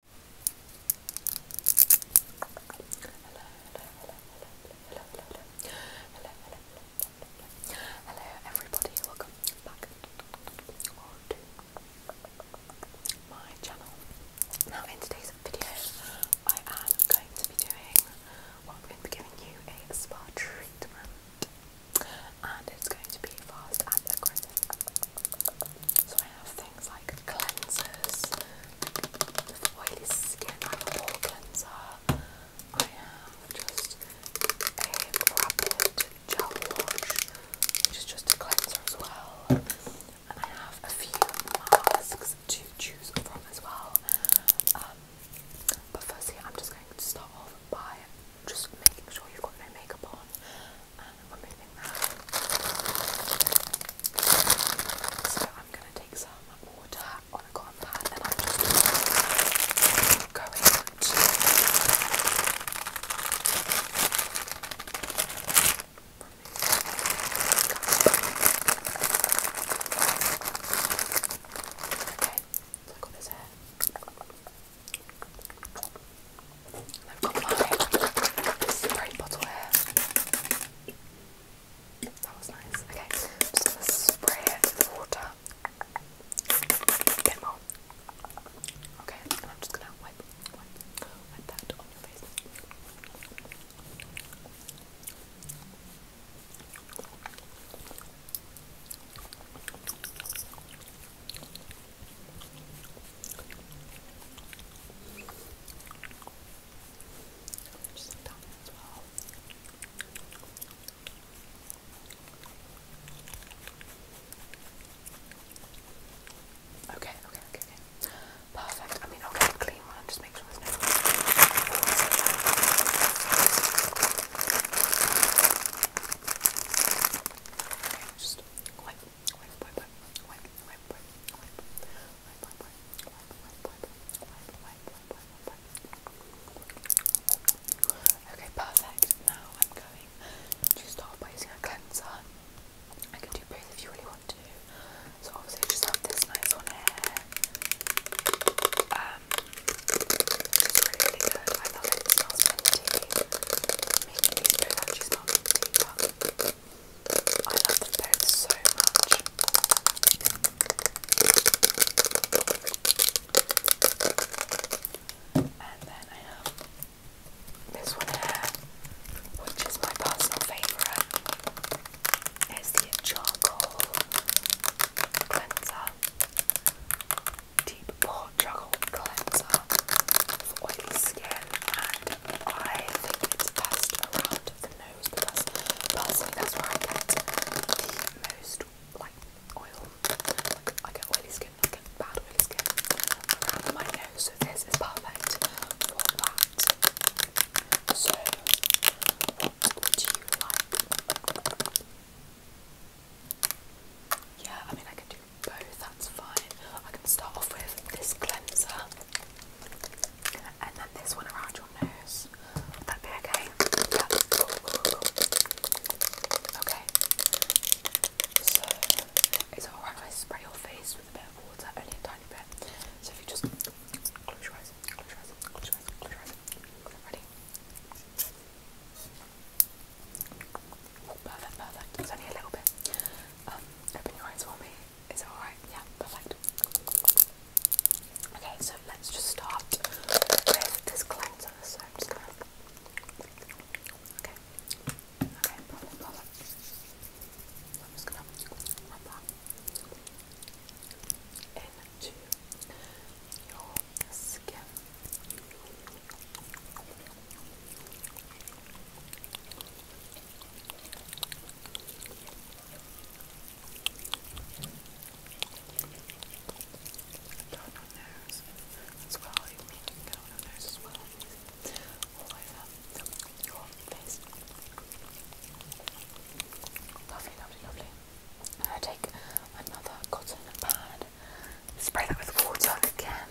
hello, everybody, welcome back to my channel. Now, in today's video, I am going to be doing I'm going to be giving you a spa treatment, and it's going to be fast and aggressive. So I have things like cleansers, like oily skin, I have a pore cleanser. I have just a rapid gel wash, which is just a cleanser as well. And I have a few masks to choose from as well. Um, but firstly, I'm just going to start off by just making sure you've got no makeup on. So I'm going to take some water on a cotton pad and I'm just going to Okay, so I got hair. I've got my spray bottle here. That was nice. Okay, I'm just gonna spray it with water. A more. Okay, and I'm just gonna wipe, wipe, wipe that on your face. Okay, okay, Perfect. I mean, I'll get a clean one just make sure there's no. just quite wipe, wipe, wipe, wipe, wipe, wipe, wipe, wipe, wipe, wipe. Okay, perfect. Now I'm going to start by using a cleanser. I can do both if you really want to. So obviously I just have this nice one here. Um it's really, really good. I love it. It smells minty. Making these both actually smell minty, but I love them both so much. And then I have this one here, which is my personal favourite. It's the charcoal cleanser, deep pore charcoal cleanser have oily skin and I think it's best around the nose because personally that's where I get the most like oil. Like, I get oily skin, I get bad oily skin my nose, so this is perfect for that. So what would you like? Yeah, I mean I can do both, that's fine. I can start off with this cleanser. And then this one around your nose. Would that be okay? Okay. So, it's alright if I spray your face with a bit of water, only a tiny bit. So, if you just close your eyes, close your eyes, close your eyes, close your eyes. Ready? Perfect, perfect. It's only a little bit. Um, open your eyes for me. Is it alright? Yeah, perfect. Okay, so let's just start with this cleanser. So I'm just gonna. Okay. Okay, perfect, perfect. I'm just gonna rub that your skin. Count on those as well. You need to count on those as well. All over your face. Lovely, lovely, lovely. And I take another cotton pad, spray that with water again.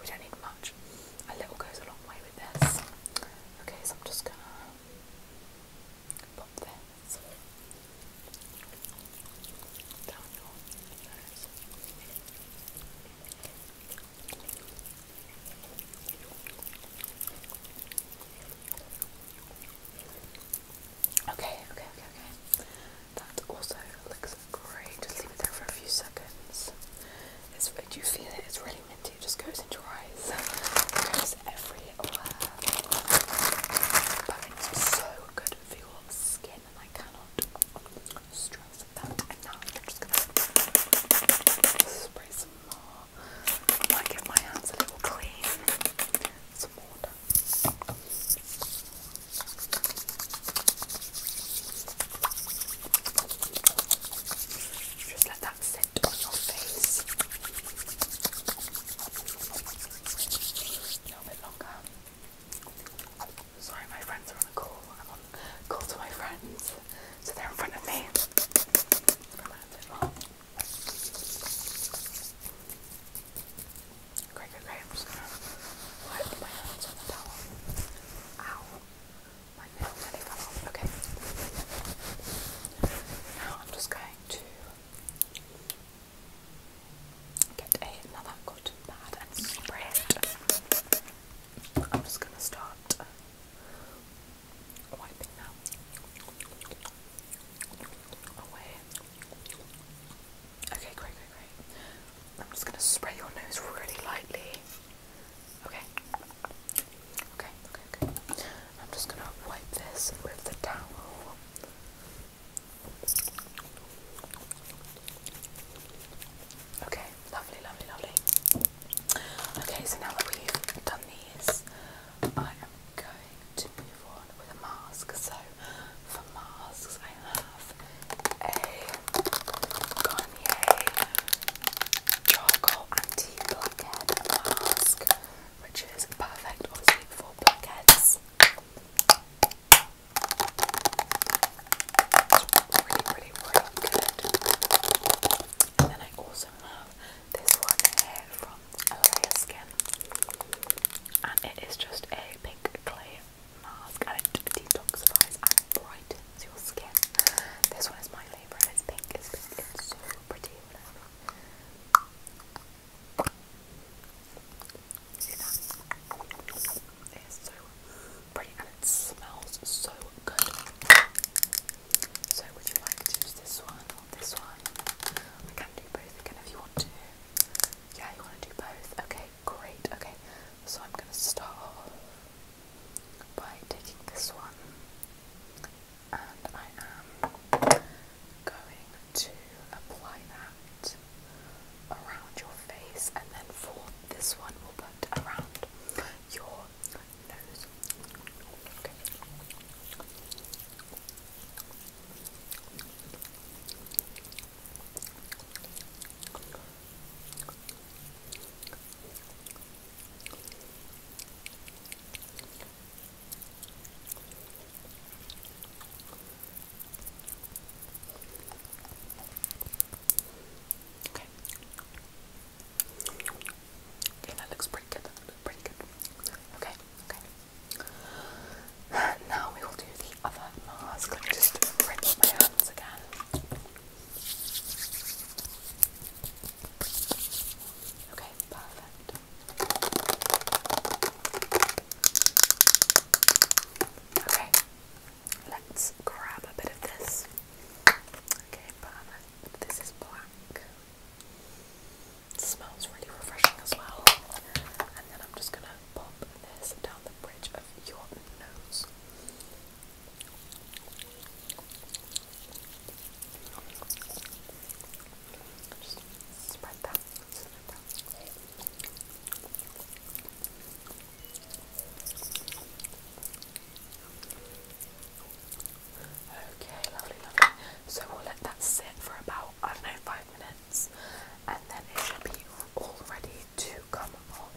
we don't need much. A little goes a long way with this. Okay, so I'm just gonna pop this down your nose. Okay, okay, okay, okay. That also looks great. Just leave it there for a few seconds. do you feel it? It's really minty. It just goes into your eyes. goes everywhere. But it's so good for your skin, and I cannot stress that enough. just gonna spray some more. might get my hands a little clean. Some water. Just let that sit on your face a little bit longer. Sorry, my friends are on the call. call to my friends, so they're in front of me. Cracker Grams. Why are my hands on the towel? Ow. My nail Okay. Now I'm just going to get another cotton pad and spray I'm just going to start wiping that away. Okay, great, great, great. I'm just going to spray your nose really lightly. Okay. Okay, okay, I'm just going to wipe this with the towel. Okay, lovely, lovely, lovely. Okay, so now that we've done these, I am going to move on with a mask. So, for masks, have a Garnier charcoal anti-blackhead mask, which is perfect, obviously, for blackheads. It's really, really, really good. And then I also have this one here from Alea Skin, and it is just a pink clay mask and it detoxifies and brightens your skin. This one is my favourite. It's pink. It's pink. It's so pretty. See that? It's so pretty and it smells so good. So would you like to use this one or this one? I can do both again if you want to. Yeah, you want to do both. Okay, great. Okay, so I'm gonna start off by taking this one, and I am going to apply that around your face, and then for this one, we'll put around your nose. Okay. Okay. Okay, that looks pretty good. looks pretty good. Okay, okay. Now we will do the other mask. just rinse my hands again. Okay, perfect. Okay, let's grab a bit of this. Okay, perfect. This is black. It smells really refreshing as well. And then I'm just gonna pop down the bridge of your nose. Just Spread that. Okay, lovely, lovely. So we'll let that sit for about, I don't know, five minutes and then it should be all ready to come off.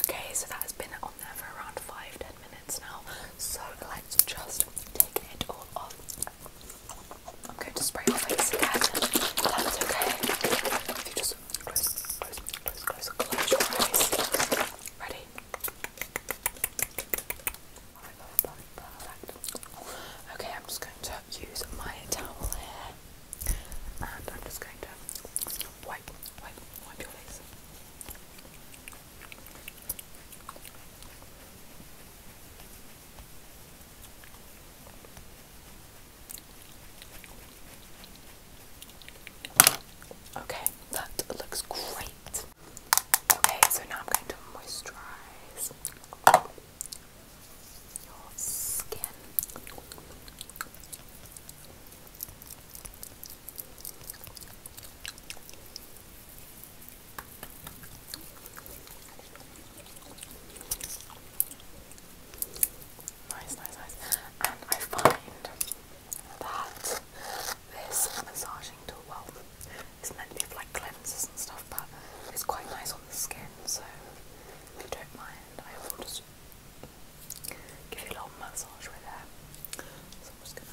Okay, so that has been on there for around five ten minutes now. So let's just take it all off. I'm going to spray my face again. That's okay. Ready? Okay, I'm just going to use my towel here. And I'm just going to wipe, wipe, wipe your face. Okay, that looks great. Okay, so now I'm going to moisturize your skin. Nice, nice, nice. And I find that this massaging tool, well, it's meant to be for like cleansers and stuff, but it's quite nice on the skin, so if you don't mind, I will just Give you a little massage right there. I'm just gonna.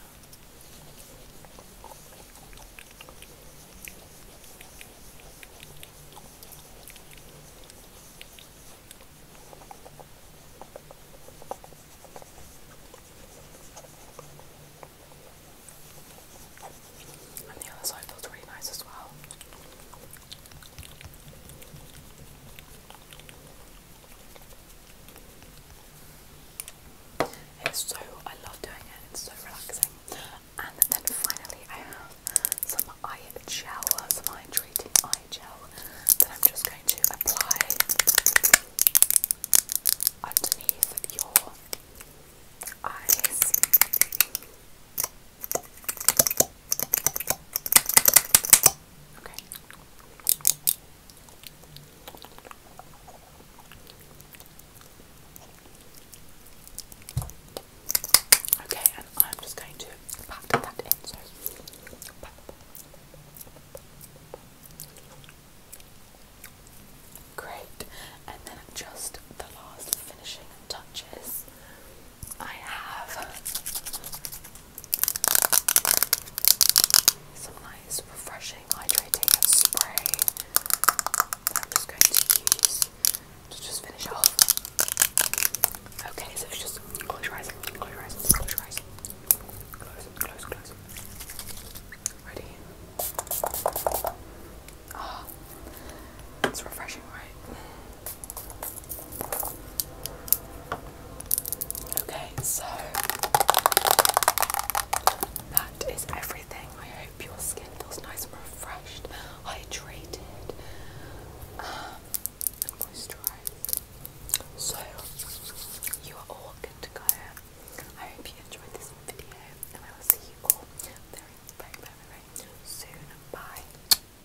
And the other side feels really nice as well. It's so, I love doing it, it's so relaxing. And then finally, I have some eye gel, some eye treating eye gel that I'm just going to apply underneath your eyes. Okay. Okay, and I'm just going to pat that in. Great, and then just the last finishing touches. I have some nice, refreshing, hydrating spray that going to just finish off. Okay, so just close your eyes, close close Close, Ready? Ah, it's refreshing, right? Okay, so that is everything. I hope your skin feels nice and refreshed, hydrated, um, moisturized. So, you are all good to go. I hope you enjoyed this video, and I will see you all very, very soon. Bye.